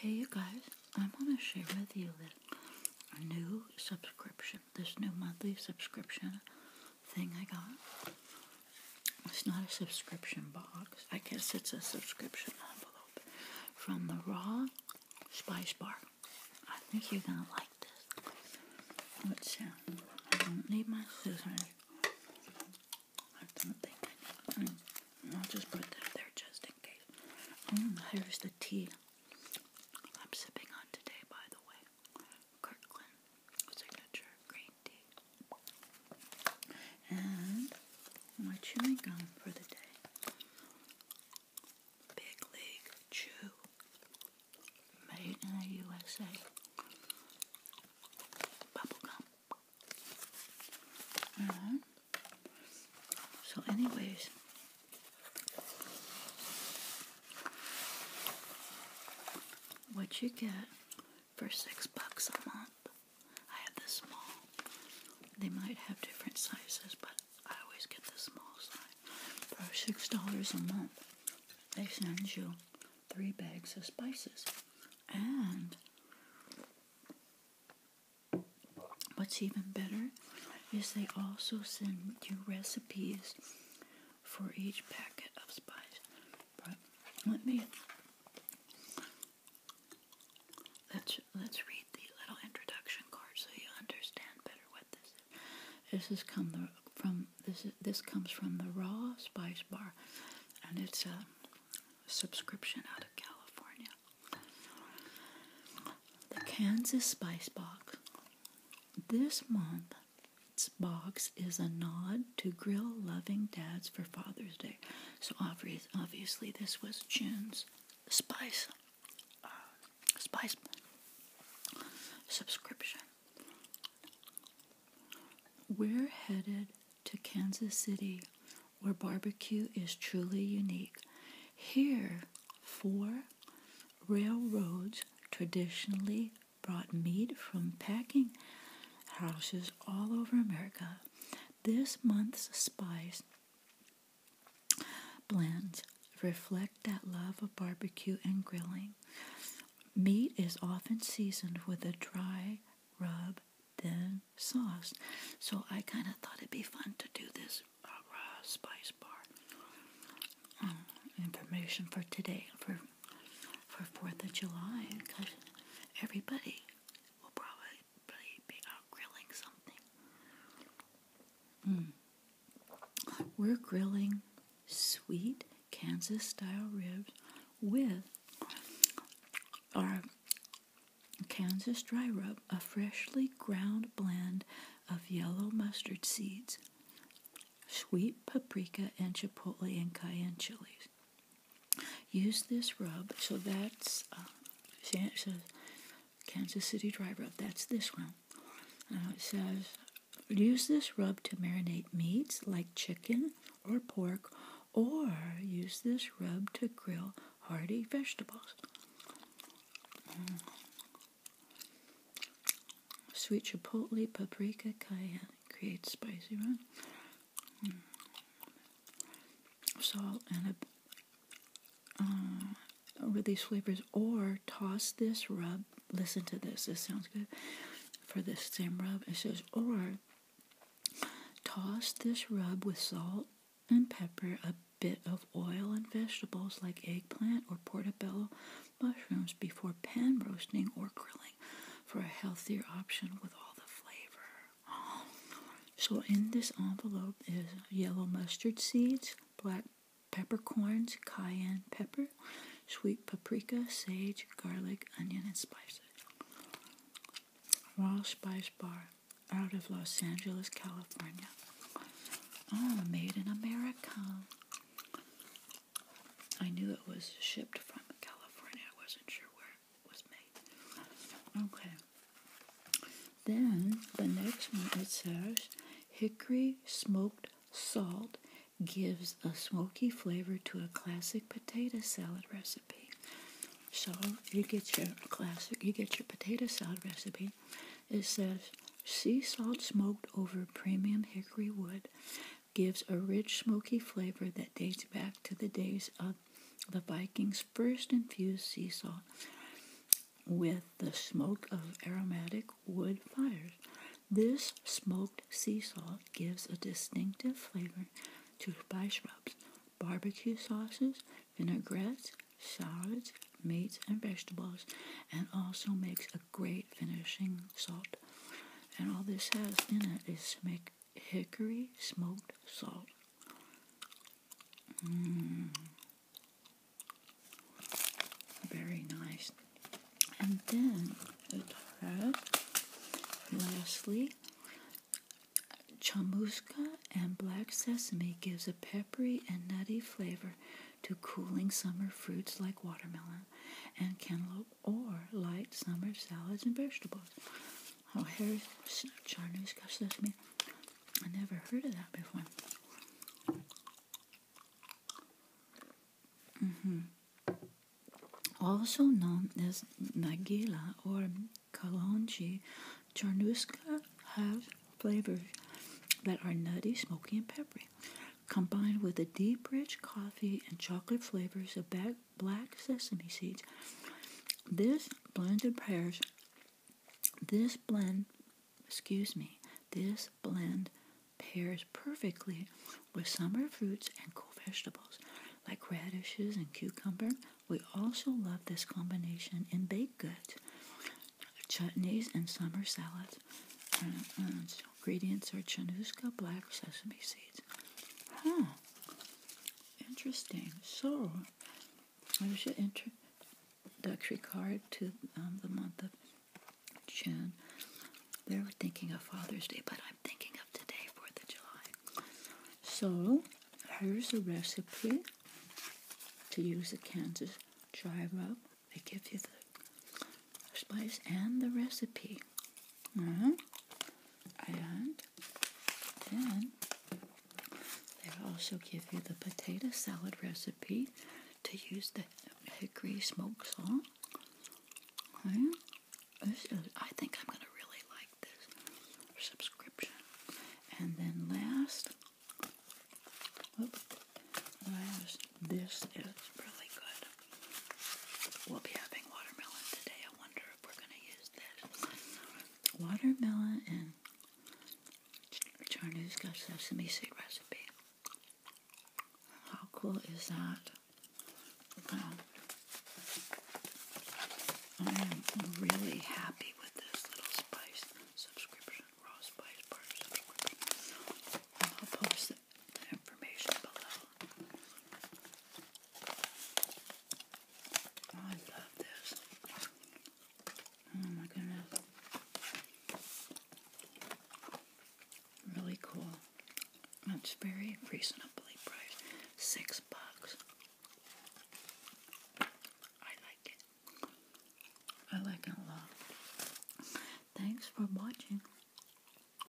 Hey you guys, I want to share with you this new subscription, this new monthly subscription thing I got. It's not a subscription box. I guess it's a subscription envelope from the Raw Spice Bar. I think you're gonna like this. Let's sound. I don't need my scissors. I don't think I mm, need I'll just put that there just in case. Mm, here's the tea I'm sipping on today, by the way. Kirkland Signature Green Tea. And my chewing gum for the day. Big League Chew. Made in the USA. Bubblegum. So, anyways, what you get for six bucks a month? I have the small. They might have different sizes, but I always get the small size. For six dollars a month, they send you three bags of spices. And what's even better is they also send you recipes for each packet of spice. But let me let's let's read the little introduction card so you understand better what this is. This has come the from this. This comes from the Raw Spice Bar, and it's a subscription out of California. The Kansas Spice Box. This month, box is a nod to grill loving dads for Father's Day. So obviously, this was June's spice uh, spice subscription. We're headed to Kansas City, where barbecue is truly unique. Here, four railroads traditionally brought meat from packing houses all over America. This month's spice blends reflect that love of barbecue and grilling. Meat is often seasoned with a dry rub, then sauce. So I kind of thought it'd be fun to do this uh, raw spice bar. Um, information for today, for for Fourth of July, because everybody will probably be out grilling something. Hmm. We're grilling sweet Kansas style ribs with our Kansas dry rub, a freshly ground blend of yellow mustard seeds, sweet paprika, and chipotle and cayenne chilies. Use this rub, so that's uh, Kansas City dry rub, that's this one. Uh, it says, use this rub to marinate meats like chicken or pork, or use this rub to grill hearty vegetables. Mm. Sweet chipotle, paprika, cayenne creates spicy rub. Mm. Salt and a with uh, these flavors, or toss this rub. Listen to this. This sounds good for this same rub. It says, or toss this rub with salt and pepper, a bit of oil and vegetables like eggplant or portobello mushrooms before pan roasting or grilling for a healthier option with all the flavor. So in this envelope is yellow mustard seeds, black peppercorns, cayenne pepper, sweet paprika, sage, garlic, onion, and spices. Raw Spice Bar out of Los Angeles, California. Oh, made in America. I knew it was shipped from California. I wasn't sure where it was made. Okay. Then the next one it says hickory smoked salt gives a smoky flavor to a classic potato salad recipe. So you get your classic, you get your potato salad recipe. It says sea salt smoked over premium hickory wood gives a rich smoky flavor that dates back to the days of the Vikings first infused sea salt with the smoke of aromatic wood fires. This smoked sea salt gives a distinctive flavor to spice rubs, barbecue sauces, vinaigrettes, salads, meats, and vegetables, and also makes a great finishing salt. And all this has in it is hickory smoked salt. Mm. Very nice. And then it had, lastly, chamuska and black sesame gives a peppery and nutty flavor to cooling summer fruits like watermelon and cantaloupe or light summer salads and vegetables. Oh, here's chamuska sesame. I never heard of that before. Mm-hmm. Also known as Nagila or Kalonji, Charnuska have flavors that are nutty, smoky, and peppery, combined with the deep, rich coffee and chocolate flavors of black sesame seeds. This blended prayers, this blend, excuse me, this blend pairs perfectly with summer fruits and cool vegetables like radishes and cucumber. We also love this combination in baked goods, chutneys, and summer salads. Uh, uh, ingredients are chanuska, black sesame seeds. Huh. Interesting. So, there's your introductory card to um, the month of June. They were thinking of Father's Day, but I'm thinking of today, 4th of July. So, here's a recipe to use the Kansas dry rub. They give you the spice and the recipe. Uh and then they also give you the potato salad recipe to use the hickory smoked salt. This is, I think I'm going to really like this subscription. And then last, last, this is really good. We'll be having watermelon today Watermelon and we're going to use this. Watermelon sesame seed recipe. How cool is that? I am really happy with this little spice subscription, raw spice bar I'll post the the information below. Oh, I love this. Oh my goodness. Really cool. It's very reasonably priced. Six bucks. I like it. I like it a lot. Thanks for watching.